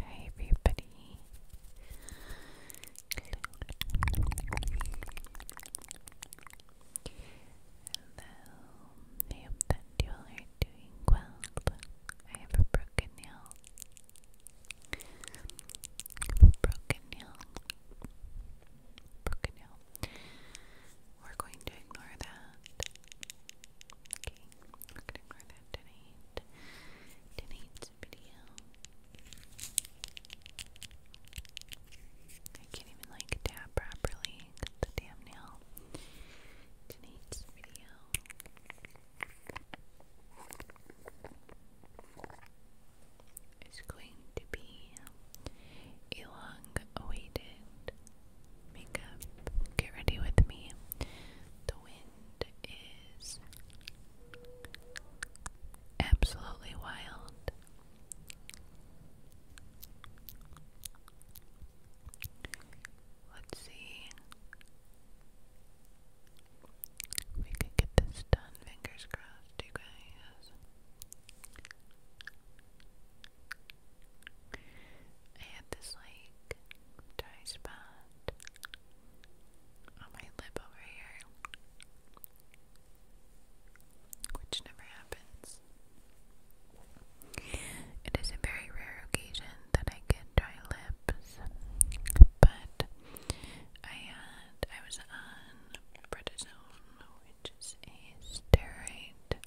Hi everybody. Hello. I hope that you are doing well. I have a broken nail. Broken nail. Broken nail. We're going to ignore that. Okay, we're going to ignore Tonight's video. I can't even like tap properly the damn nail. Tonight's video. It's going to be a long awaited makeup. Get ready with me. The win is absolutely wild. Let's see. We could get this done, fingers crossed, you guys. I this like dry spot on my lip over here, which never happens. It is a very rare occasion that I get dry lips, but I had I was on prednisone, which is steroid,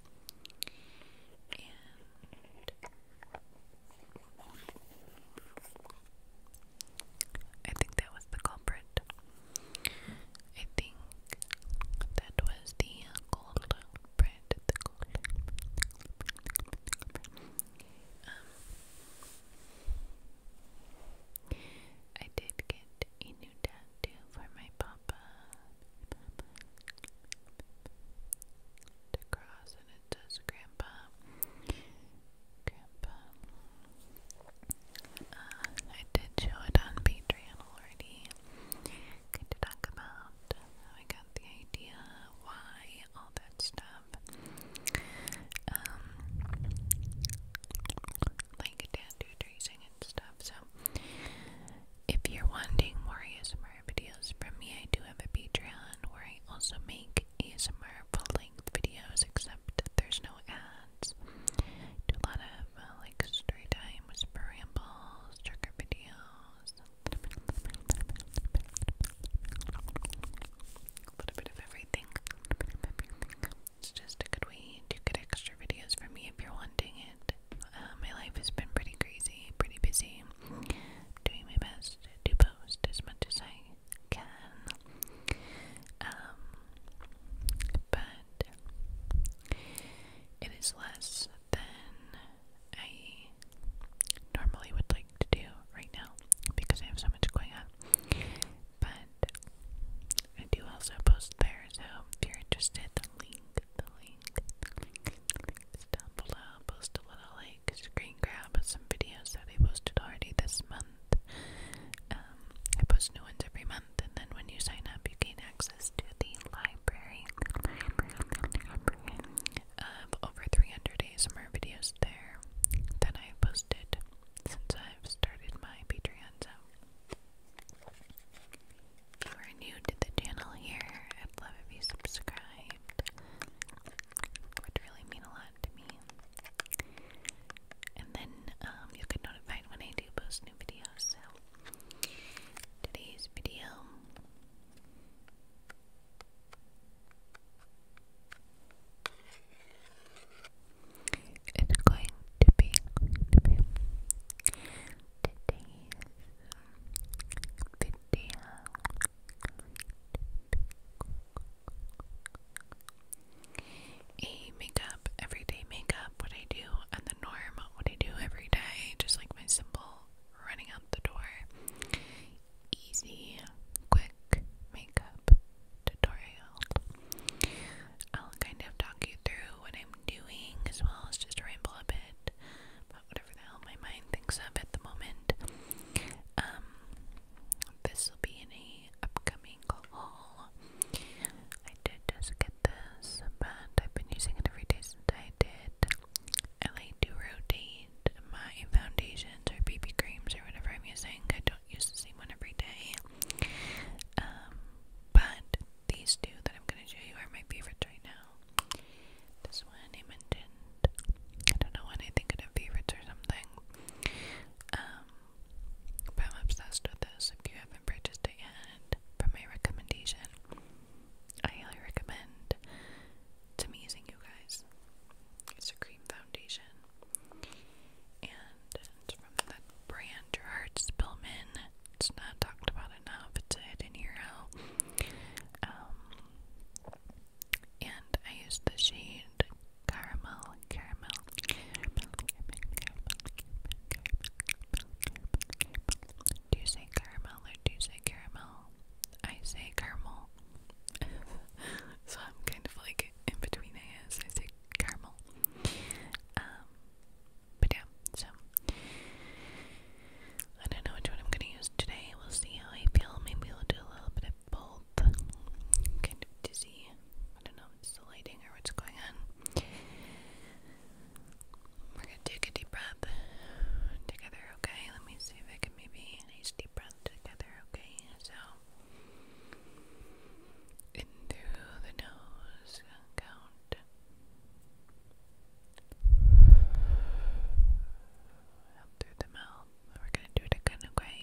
I think that was the culprit. I think that was the culprit. Um, I did get a new tattoo for my papa. To cross it Grandpa. Grandpa. Uh, I did show it on Patreon already. Going to talk about how I got the idea, why, all that stuff. Um, like tattoo tracing and stuff. So, if you're wanting more ASMR videos from me, I do have a Patreon where I also make ASMR full length videos, except there's no ads. I do a lot of uh, like story time, whisper rambles, trigger videos, a bit of everything. It's just a good way to get extra videos from me if you're wanting it. Uh, my life has been pretty crazy, pretty busy. I'm doing my best to post as much as I can. Um, but it is less than I normally would like to do right now because I have so much going on. But I do also post there, so if you're interested, link, the link, is down below. Post a little like screen grab some videos that I posted already this month. Um, I post new ones every month, and then when you sign up, you gain access to the library, library, library of um, over 300 days of more videos there that I have posted since I've started my Patreon. So, if you are new to the channel here, I'd love if you subscribed would really mean a lot to me. And then um, you get notified when I do post new videos. So today's video it's going to be today's video a makeup, everyday makeup, what I do and the norm, what I do every day, just like my simple running out the door, easy, quick makeup tutorial. I'll kind of talk you through what I'm doing as well as just ramble a bit whatever the hell my mind thinks of at the moment. Um, this will be in upcoming haul. I did just get this, but I've been using it every day since I did. I like to rotate my foundations or BB creams or whatever I'm using. I don't use the same one every day. Um, but these two that I'm going to show you are my favorites right now. This one he mentioned, I don't know when I think it of favorites or something. Um, but I'm obsessed with this. If you haven't purchased it yet, from my recommendation, I highly recommend. It's amazing, you guys. It's a cream foundation, and it's from that brand Gerard Spillman. It's not talked about enough. It's in your hero. And I use the shade Caramel, Caramel, Caramel, Do you say caramel or do you say caramel? I say caramel. so I'm kind of like in between I guess. I say caramel. Um but yeah, so I don't know which one I'm gonna use today. We'll see how I feel. Maybe I'll do a little bit of both. Kind of dizzy. I don't know if it's the lighting or what's going on. We're gonna take a deep breath together, okay? Let me see if I can maybe a nice deep breath together, okay? So in through the nose, count up through the mouth. We're going to do it again, okay?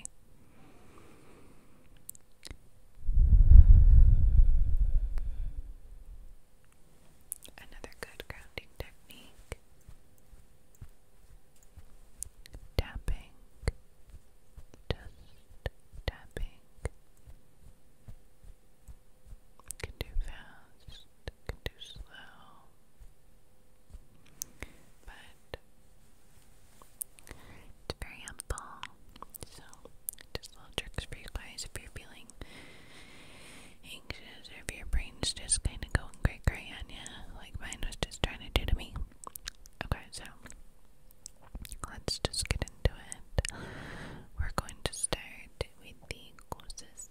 Another good grounding technique. Tapping. Just tapping. You can do fast can do slow. But it's very helpful. So, just little tricks for you guys if you're feeling anxious or if your brain's just kind of going gray gray on you, like mine was just trying to do to me. Okay, so let's just get into it. We're going to start with the closest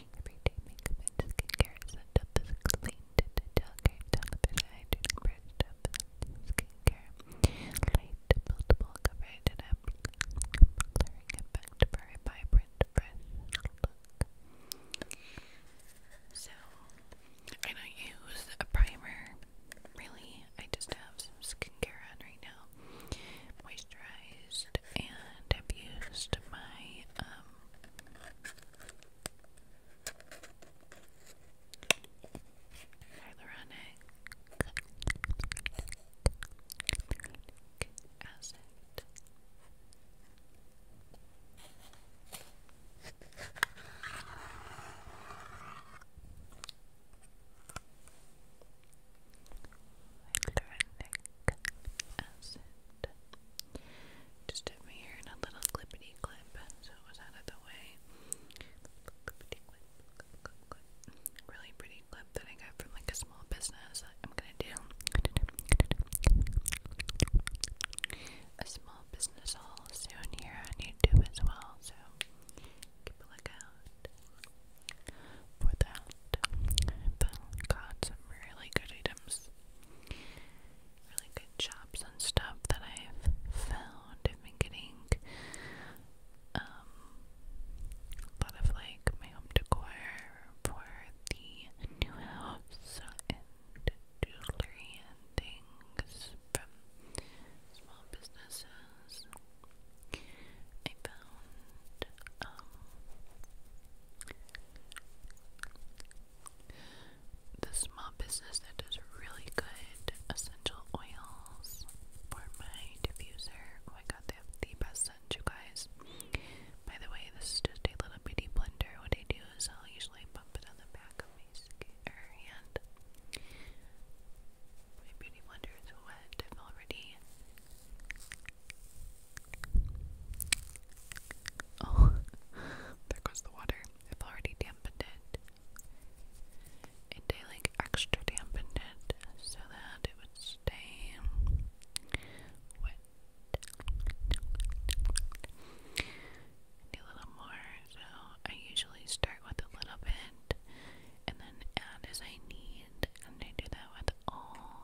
Everyday makeup and skincare is sent up as clean to detail care, television, hygiene, brush up, skincare, light, buildable coverage, and a blurring effect vibrant, fresh So, I don't use a primer, really. I just have some skincare on right now. Moisturized, and I've used my um, Hyaluronic acid. Hyaluronic acid. Just hit me here in a little clippity clip, so it was out of the way. Clippity clip, clip, clip, clip. Really pretty clip that I got from like a small business. I'm gonna do a small business haul soon here on YouTube as well, so keep a lookout for that. But got some really good items really good shops and stuff that I've found. I've been getting um, a lot of like my home decor for the new house and jewelry and things from small businesses. I found um, the small business that does really good essential oils for my diffuser. Oh my god, they have the best scent, you guys. By the way, this is just a little bitty blender. What I do is I'll usually bump it on the back of my skin or hand. My beauty blender is wet. I've already Oh, there goes the water. I've already dampened it. And I like extra dampened it so that it would stay wet. Do a little more. So I usually start with a little bit and then add as I need, and I do that with all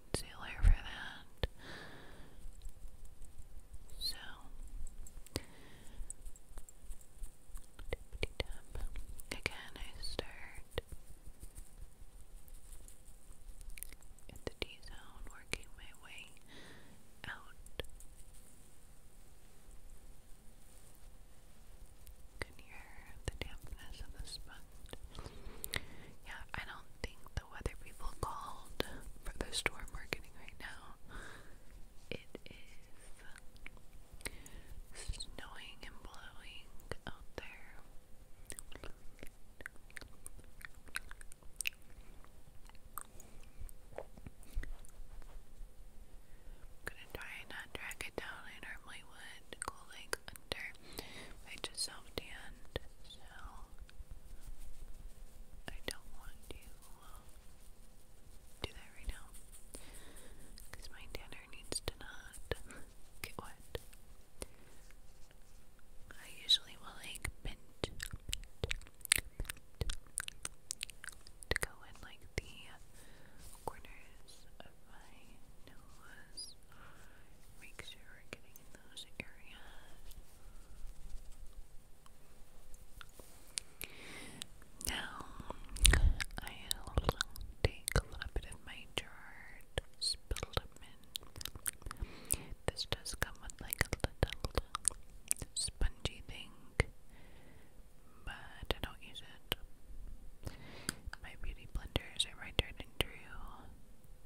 concealer for that. So, again, I start at the D zone, working my way out. You can hear the dampness of the sponge left. Yeah, I don't think the weather people called for the storm we're getting right now. It is snowing and blowing out there. gonna try and not drag it down. I normally would go like under by yourself and so I don't want to uh, do that right now because my dinner needs to not get wet. I usually will like bend, bend, bend to go in like the corners of my nose. Make sure we're getting in those areas. Now, I'll take a little bit of my jarred Spilderman. This does come with like a little spongy thing, but I don't use it. My beauty blenders are my tried and true.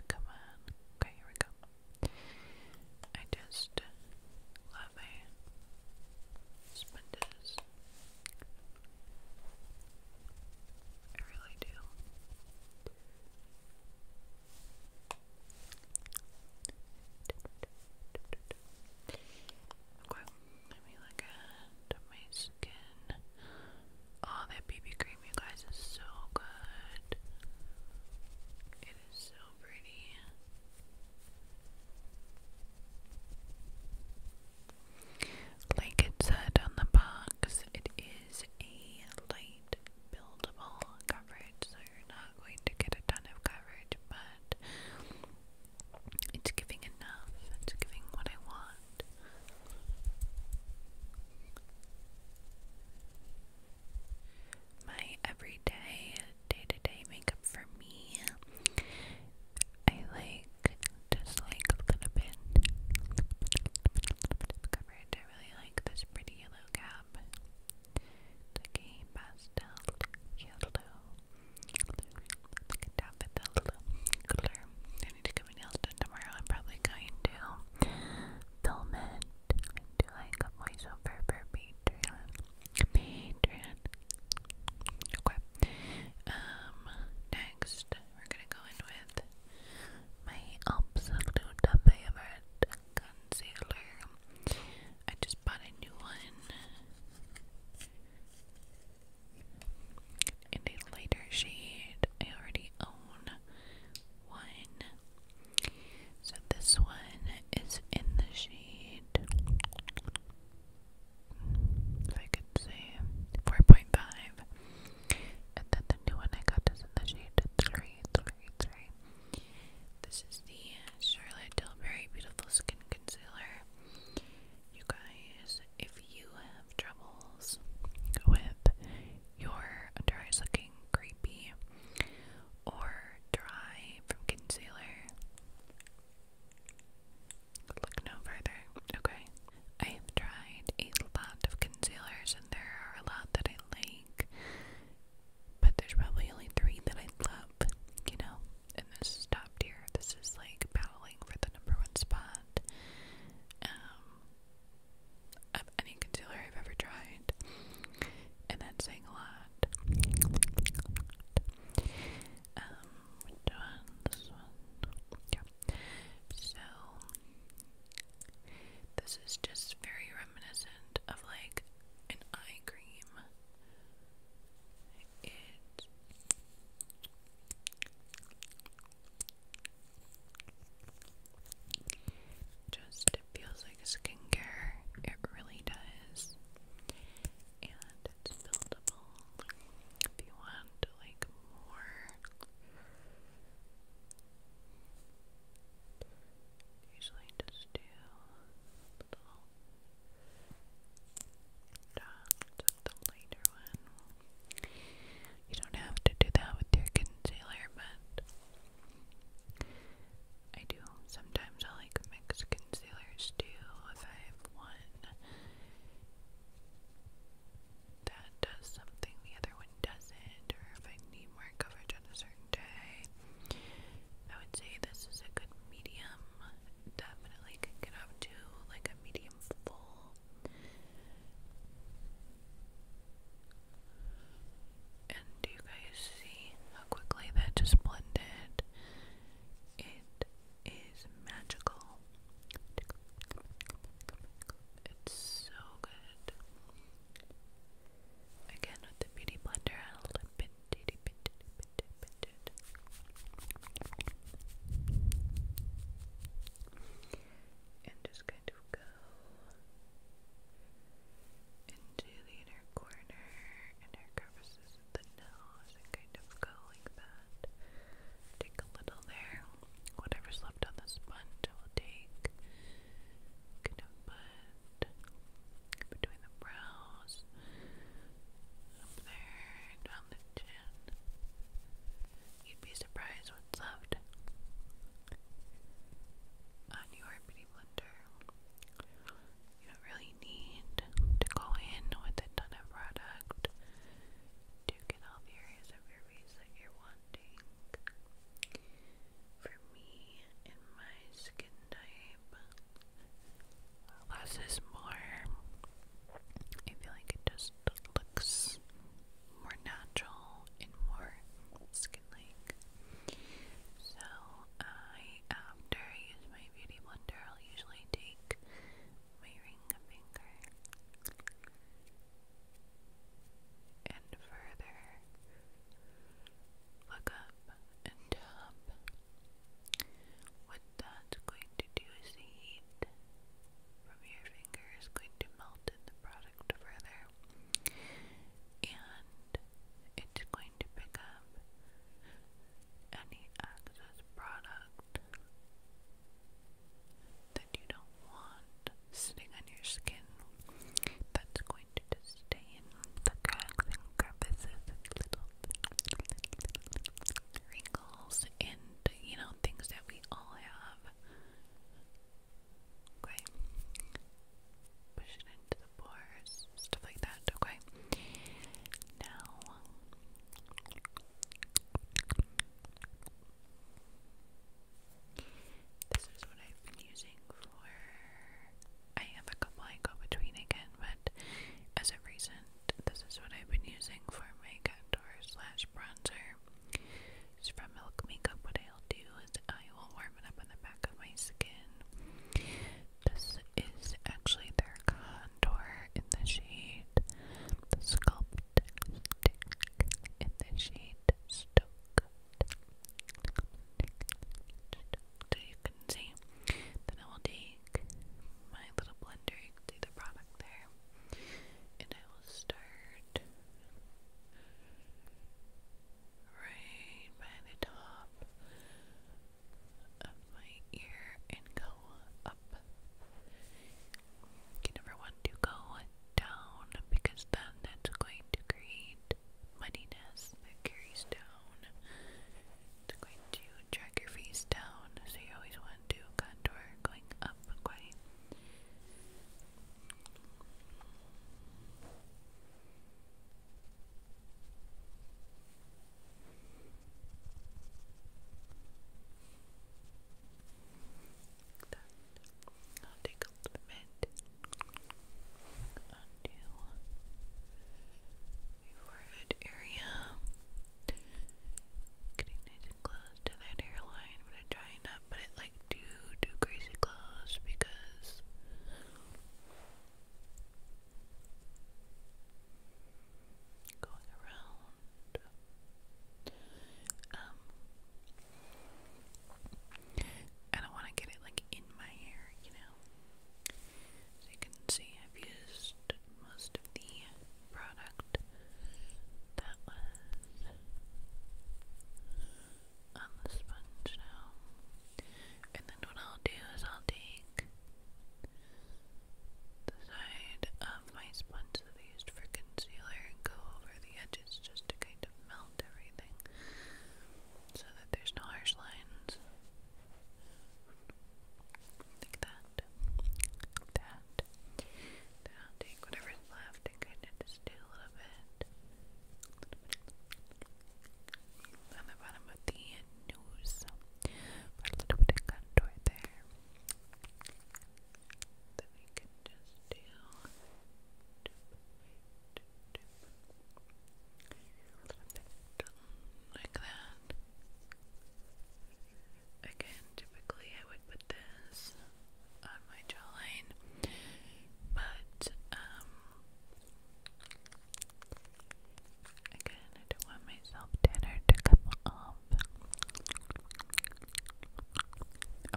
Come on. Okay, here we go. I just love a I really do. Okay, let me look at skin. Oh, that BB cream, you guys, is so good. It is so pretty. Like it said on the box, it is a light buildable coverage, so you're not going to get a ton of coverage, but it's giving enough. It's giving what I want. My everyday, day to day makeup for me, I like just like a little bit, bit I really like this pretty yellow cap. It's pastel yellow. Like a daffodil color need to get my nails done tomorrow. I'm probably going to film it and like a voiceover for Patreon. Patreon. Okay. Um, next, we're gonna go in with my absolute favorite concealer. I just bought a new one in a lighter shade. I already own one. So this one is in the shade, if I could say, 4.5. And then the new one I got is in the shade 3, This is the Charlotte Tilbury Beautiful Skin Concealer. You guys, if you have troubles with your under eyes looking creepy or dry from concealer, look no further, okay? I have tried a lot of concealers and there are a lot that I like, but there's probably only three that I love, you know? And this is top tier. This is like battling for the number one spot. Um, of any concealer I've ever tried, and that's saying a lot. Um, This one? Yeah. So, this is just very reminiscent of like an eye cream. It just it feels like skincare. It really does. And it's buildable. If you want like more. Usually just do little dots at the lighter one. You don't have to do that with your concealer, but I do. Sometimes I like mix concealers too if I have one that does something the other one doesn't, or if I need more coverage on a certain day. I would say this is a good medium. Definitely can get to like a medium full and do you guys see how quickly that just blended? It is magical. It's so good. Again with the beauty blender, add a little bit, bitty, bitty, bitty, bitty and just kind of go into the inner corner, inner crevices the nose, and kind of go like that. Take a little there, whatever's left on the sponge, I will take. Kind of put between the brows, up there, down the chin. You'd be surprised what's left. On your beauty blender, you don't really need to go in with a ton of product to get all the areas of your face that you're wanting. For me and my skin type, less is more. I feel like it just looks more natural and more skin-like. So I, after um, use my beauty blender, I'll usually take my ring finger and further look up and tap. What that's going to do is heat from your finger going to melt in the product further, and it's going to pick up any excess product that you don't want sitting on your skin. That's going to disdain the cracks crevices little wrinkles and you know things that we all have Okay. Push it into the pores, stuff like that, okay? Now this is what I've been using for I have a couple I go between again, but as of recent, this is what I've been using for my contour slash bronzer later. from Milk Makeup, what I'll do is I will warm it up on the back of my skin. This is actually their contour in the shade the Sculpt in the shade Stoked. So you can see. Then I will take my little blender, you can see the product there, and I will start right by the top of my ear and go up. You never want to go down because then that's going to create muddiness that carries down. It's going to drag your face down, so you always want onto a contour going up quite that. I'll take a little bit onto area and close to that hairline, but I try not put it like too too crazy close because going around um I don't want to get it like in my hair, you know. So you can see I've used most of the product that was on the sponge now. And then what I'll do is I'll take the side of my sponge that I used for concealer and go over the edges just to kind of melt everything so that there's no harsh lines. Like that. that. Then I'll take whatever's left and kind of do a little bit. On the bottom of the nose. Put a little bit of contour there. Then we can just do. A little bit like that. Again, typically I would put this on my jawline, but um, again, I don't want my tanner to come off.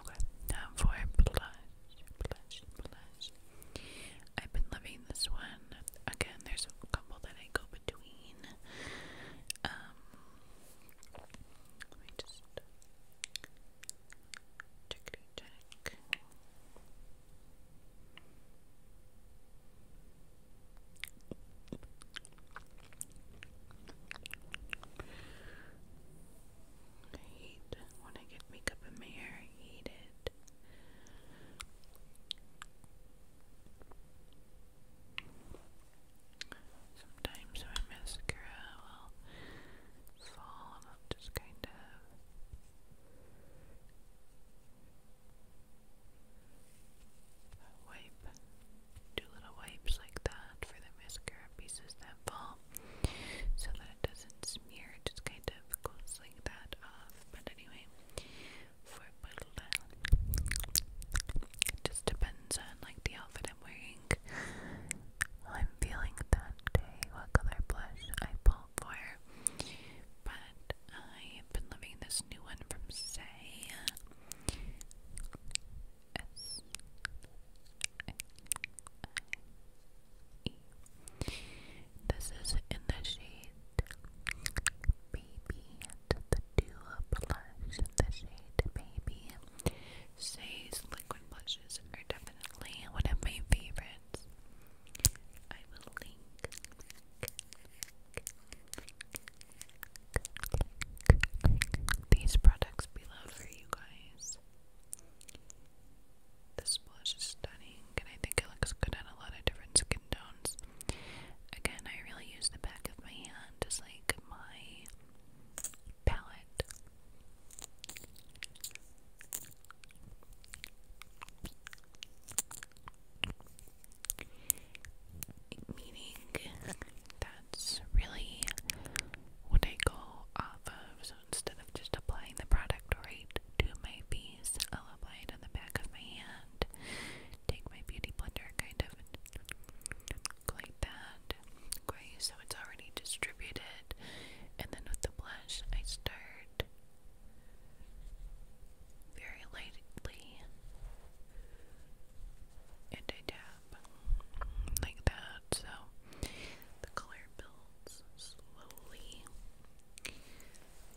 Okay, now for blush, blush, blush. I've been loving this one. Again, there's a couple that I go between. Um, let just Checkity check. I hate when I get makeup in my hair. I hate it. Sometimes my mascara will fall and i just kind of wipe, do little wipes like that for the mascara pieces that fall so that it doesn't smear, it just kind of goes like that off. But anyway, for a little it just depends on like the outfit I'm wearing I'm feeling that day, what color blush I pull for. But I've been loving this new one from Say. This is in the shade Baby, the Dew Blush in the shade Baby. Shay's liquid blushes are definitely one of my favorites. I will link these products below for you guys. This blush is stunning, and I think it looks good on a lot of different skin tones. Again, I really use the back of my hand as like my palette. Meaning that's really what I go off of. So instead of just applying the product right to my piece, I'll apply it on the back of my hand. Take my beauty blender, kind of like that, Okay, so it's already distributed. And then with the blush, I start very lightly and I tap like that. So the color builds slowly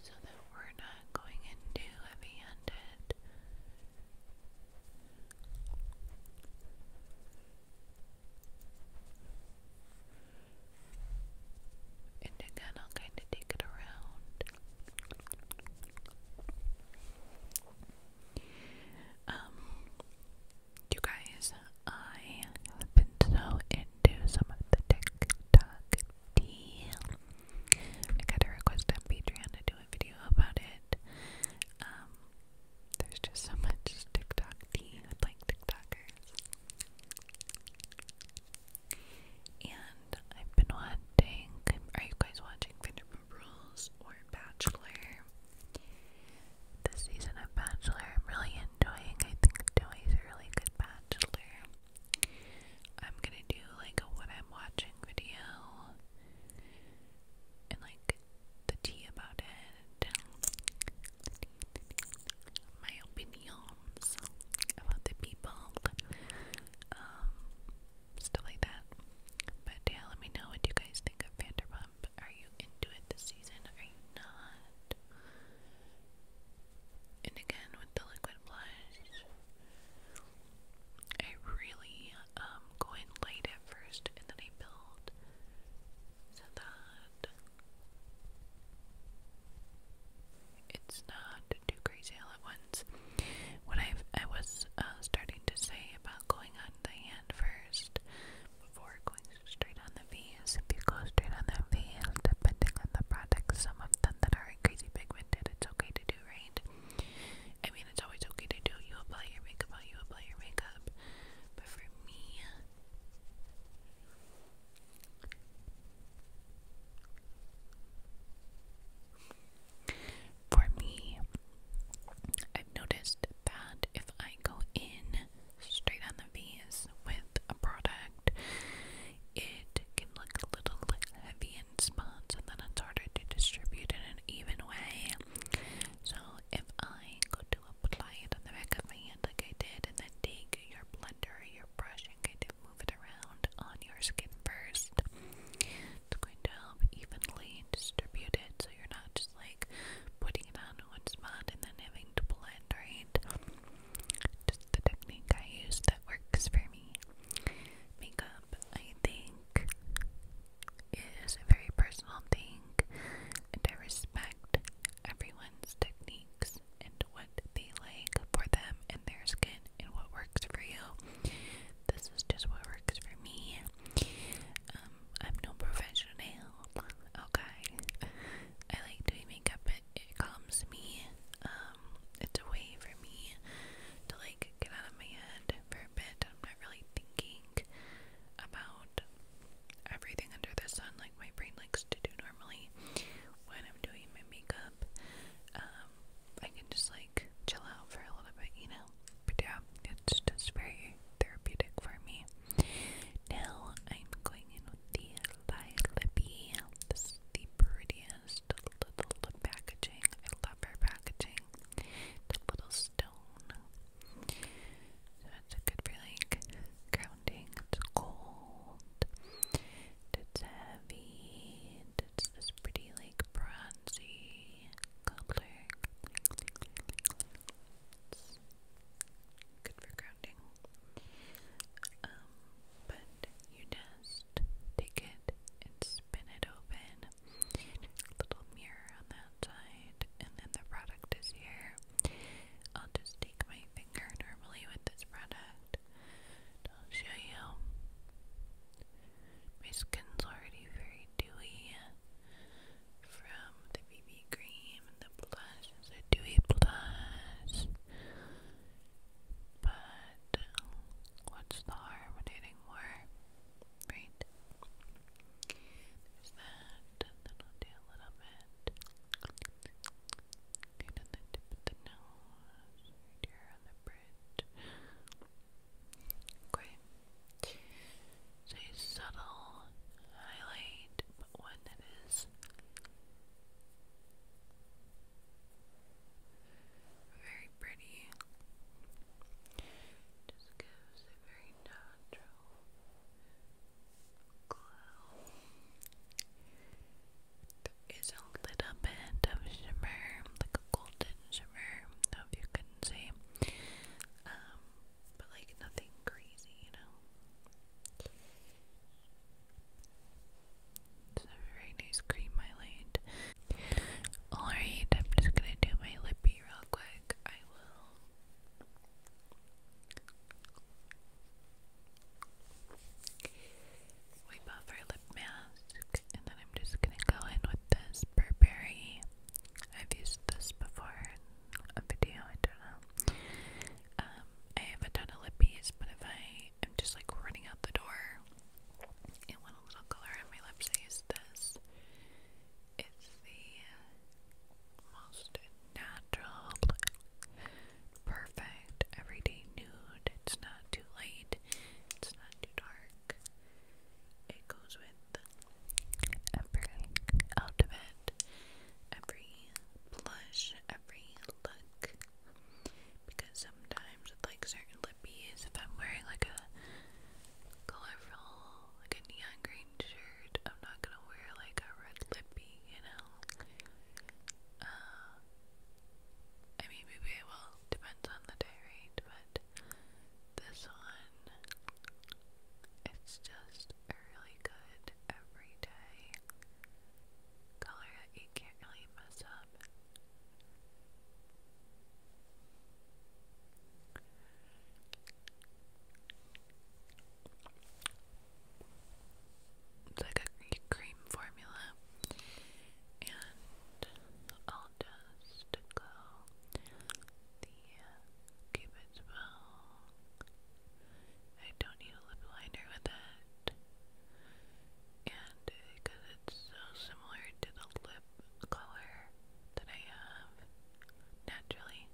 so that we're not going in heavy handed. And again, I'll kind of take it around. Um, you guys, I have been so into some of the TikTok tea. I got a request on to do a video about it. Um, there's just so much TikTok tea with like TikTokers. And I've been watching are you guys watching Vanderpump Rules or Bachelor? This season of Bachelor I'm really enjoying. I think Joey's a really good bachelor. I'm gonna do like a what I'm watching video and like the tea about it, um, my opinions about the people, um, stuff like that. But yeah, let me know what you guys think of Vanderpump. Are you into it this season? Are you not? And again, with the liquid blush, I really um, go light at first and then I build so that it's not too crazy all at once. What i I was uh, starting to say about going on the hand first before going straight on the V's, if you go straight on the V, depending on the product, some of them that are crazy pigmented, it's okay to do right. I mean, it's always okay to do. You apply your makeup while you apply your makeup. But for me, for me, I've noticed that if I go in straight on the V's with a product, it can look a little heavy in spots, and then it's harder to distribute in an even way. So if I go to apply it on the back of my hand like I did, and then take your blender or your brush and kind of move it around on your skin first, it's going to help evenly distribute it so you're not just like putting it on one spot and then having to blend, right? Just the technique I use that works for me. Makeup, I think, it is a very personal thing, and I respect everyone's techniques and what they like for them and their skin and what works for you. This is just what works for me. Um, I'm no professional, okay? I like doing makeup, it, it calms me. Um, it's a way for me to like get out of my head for a bit really thinking about everything under the sun like my brain likes to do normally when I'm doing my makeup. Um, I can just like chill out for a little bit, you know. But yeah, it's just very therapeutic for me. Now I'm going in with the Lilaby. This is the prettiest little packaging. I love her packaging. The little stone. So it's good for like grounding. It's cold. It's heavy. It's this pretty like bronzy color. good for grounding. Um, but you just take it and spin it open Little mirror on that side, and then the product is here. I'll just take my finger normally with this product. I'll show you. My skin's already very dewy from the BB cream and the blush. It's a dewy blush. But um, what's the harm more? Right? There's that, on the nose, right here on the bridge. Okay. So subtle highlight, but one that is very pretty. Just gives a very nice natural a little bit of shimmer, like a golden shimmer, if you can see. Um, but like nothing crazy, you know. It's a very nice cream highlight. Alright, I'm just gonna do my lippy real quick. I will wipe off our lip mask, and then I'm just gonna go in with this Burberry. I've used this before a video, I don't know. Um, I have a ton of lippies, but if I am just like running out the door and want a little color on my lips, I use this. It's the most natural, perfect, everyday nude. It's not too light, it's not too dark. It goes with every outfit, every blush, every look. Because sometimes, with like certain lippies, if I'm wearing like a colorful like a neon green shirt. I'm not gonna wear like a red lippy, you know. Uh, I mean, maybe I will. Depends on the day, right? But this one, it's just a really good everyday color that you can't really mess up. It's like a cream formula, and I'll just go the Cupid's uh, bow. I don't need a lip liner with it, and because uh, it's so similar to the lip color that I have naturally,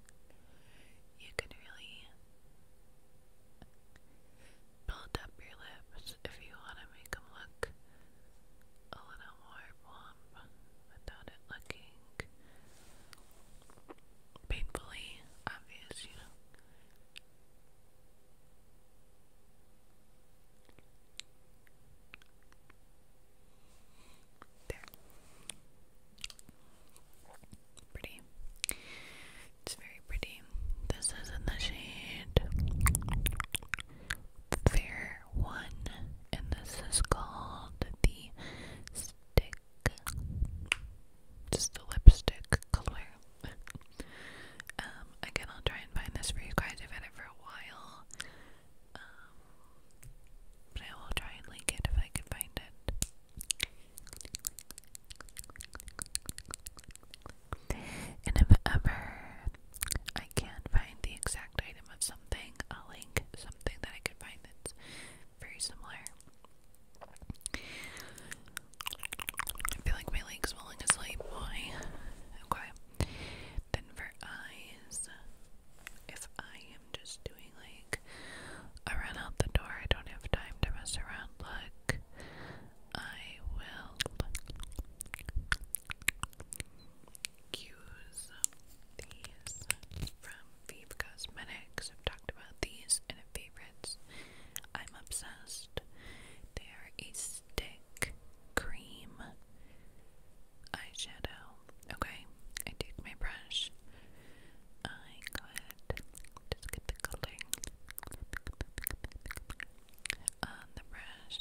you can really build up your lips if you want to make them look a little more plump without it looking painfully obvious, you know. There. Pretty. It's very pretty. This is in the shade Fair One, and this is called the Stick. Just the lipstick color. um, again, I'll try and find this for you guys. I've had it for a while. Um, but I will try and link it if I can find it. And if ever I can't find the exact item of something, I'll link something that I can find that's very similar. I feel like my leg's falling asleep. Why? Okay. Then for I if I am just doing like a run out the door, I don't have time to mess around look, I will use these from Vive Cosmetics. I've talked about these in favorites. I'm obsessed. They are a stick cream eyeshadow. Okay, I take my brush. I go ahead, just get the coloring on um, the brush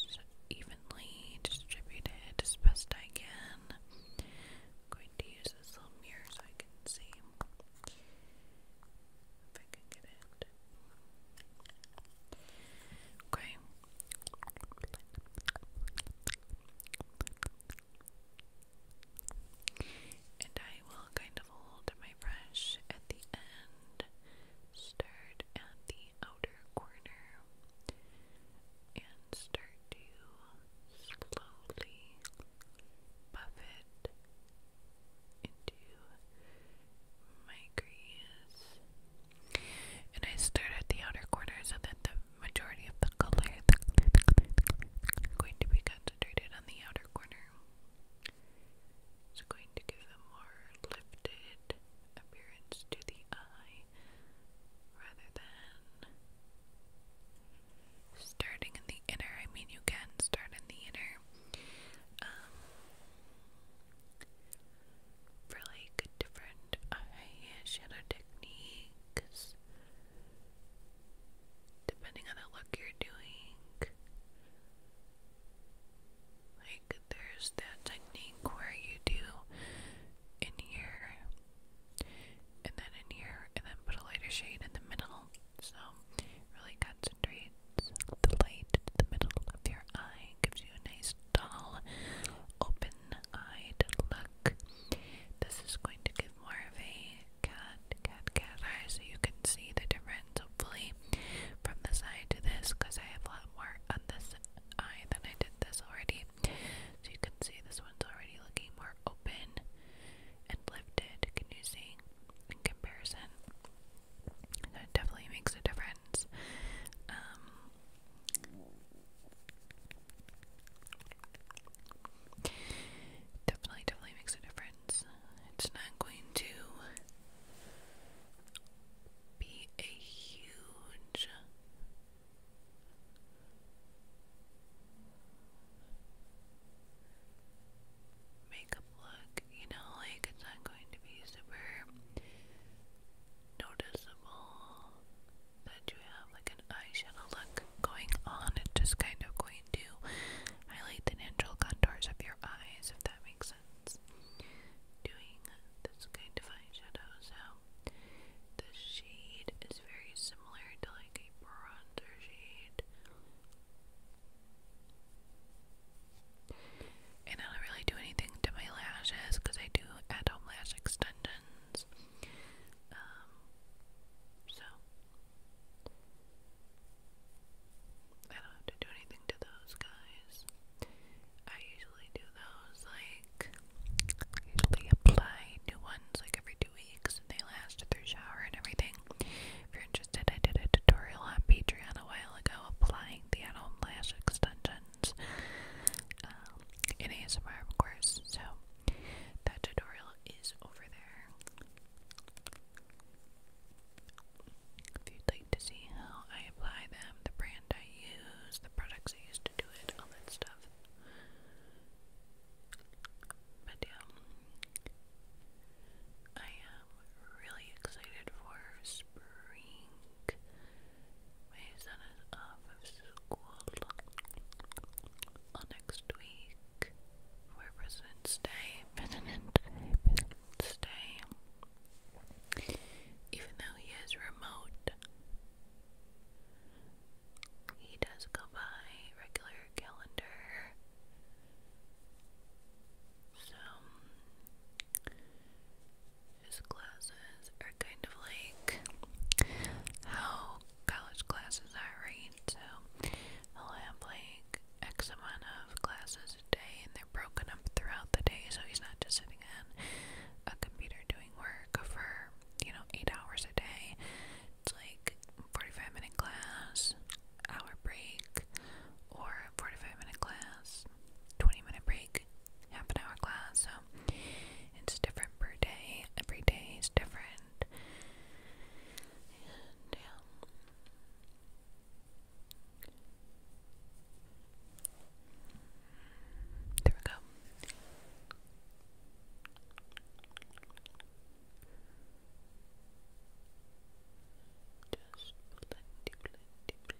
evenly distributed as best I can. going to use this little mirror so I can see if I can get it. Okay, and I will kind of hold my brush at the end, start at the outer corner, and start to slowly buff it into my grease. And I start at the outer corner so that the majority of the color going to be concentrated on the outer corner. It's going to give a more lifted appearance to the eye rather than starting in the inner. I mean, you can start in the inner. Um, for like different different eyeshadow techniques depending on the look you're doing. Like, there's that technique where you do in here, and then in here, and then put a lighter shade in the middle. So, really concentrates the light in the middle of your eye, gives you a nice dull, open one-eyed look. This is going to give more of a cat, cat, cat eye, so you can see the difference, hopefully, from the side to this, because I have a lot more on this eye than I did this already. So you can see this one's already looking more open and lifted. Can you see? In comparison, that definitely makes a difference. Um, Definitely, definitely makes a difference. It's not going to be a huge makeup look, you know, like it's not going to be super noticeable that you have like an eye shadow look going on. It's just kind of going to highlight the natural contours of your eyes, if that makes sense. Doing this kind of eyeshadow, so the shade is very similar to like a bronzer shade. And I don't really do anything to my lashes because I do at home lash extensions friends. Um, so I don't have to do anything to those guys. I usually do those like usually apply new ones like every two weeks and they last through shower and everything. If you're interested, I did a tutorial on Patreon a while ago applying the at home lash extension sounds um, in ASMR, of course. So that tutorial is over there. If you'd like to see how I apply them, the brand I use, the products I use to do it, all that stuff. But yeah, um, I am really excited for spring. We son is off of school next week President's Day. President's Day, President's Day. Even though he is remote, he does go by regular calendar. So his classes are kind of like how college classes are, right? So he'll have like X amount of classes a day and they're broken up throughout the day, so he's not just sitting in a computer doing work for, you know, eight hours a day. It's like 45 minute class, hour break, or 45 minute class, 20 minute break, half an hour class, so it's different per day. Every day is different. There we go. Just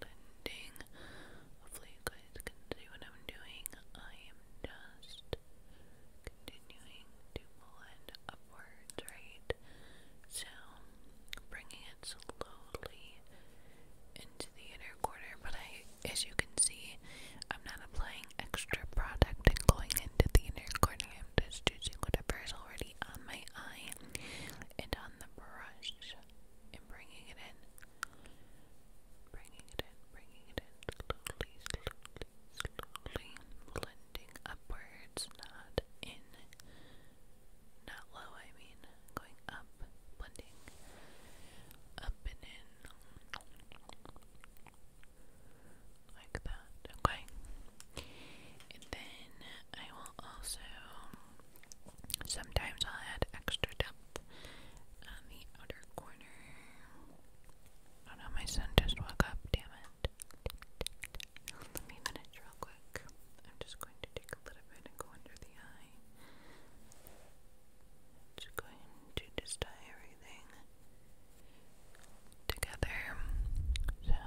blending. Hopefully, you guys can see what I'm doing. I am just continuing to pull upwards, right? So, bringing it slowly into the inner corner, but I, as you can see, I'm not applying extra product and going into the inner corner. I'm just using whatever is already on my eye and on the brush and bringing it in Bringing it in, bringing it in slowly, slowly, slowly. Blending upwards, not in, not low, I mean. Going up, blending up and in. Like that, okay. And then I will also. Sometimes I'll add extra depth on the outer corner. Oh no, my son just woke up, damn it. Let me finish real quick. I'm just going to take a little bit and go under the eye. Just going to just tie everything together. So,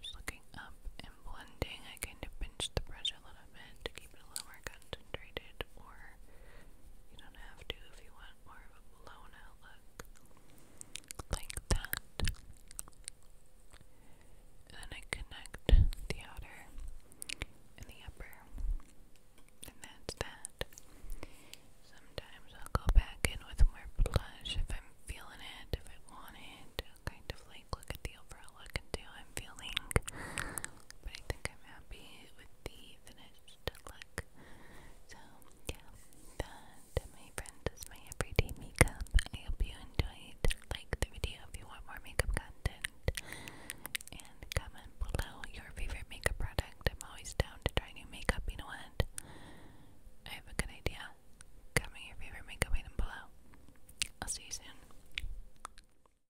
just looking up and blending, I kind of pinch the brush a little bit to keep it a little more concentrated or you don't have to if you want more of a blown out look like that. then I connect the outer and the upper. And that's that. Sometimes I'll go back in with more blush if I'm feeling it, if I want it. kind of like look at the overall look and do i feeling. But I think I'm happy with the finished look. So, yeah, that, my friends, is my everyday makeup. I hope you enjoyed. Like the video if you want more makeup content. And comment below your favorite makeup product. I'm always down to try new makeup. You know what? I have a good idea. Comment your favorite makeup item below. I'll see you soon.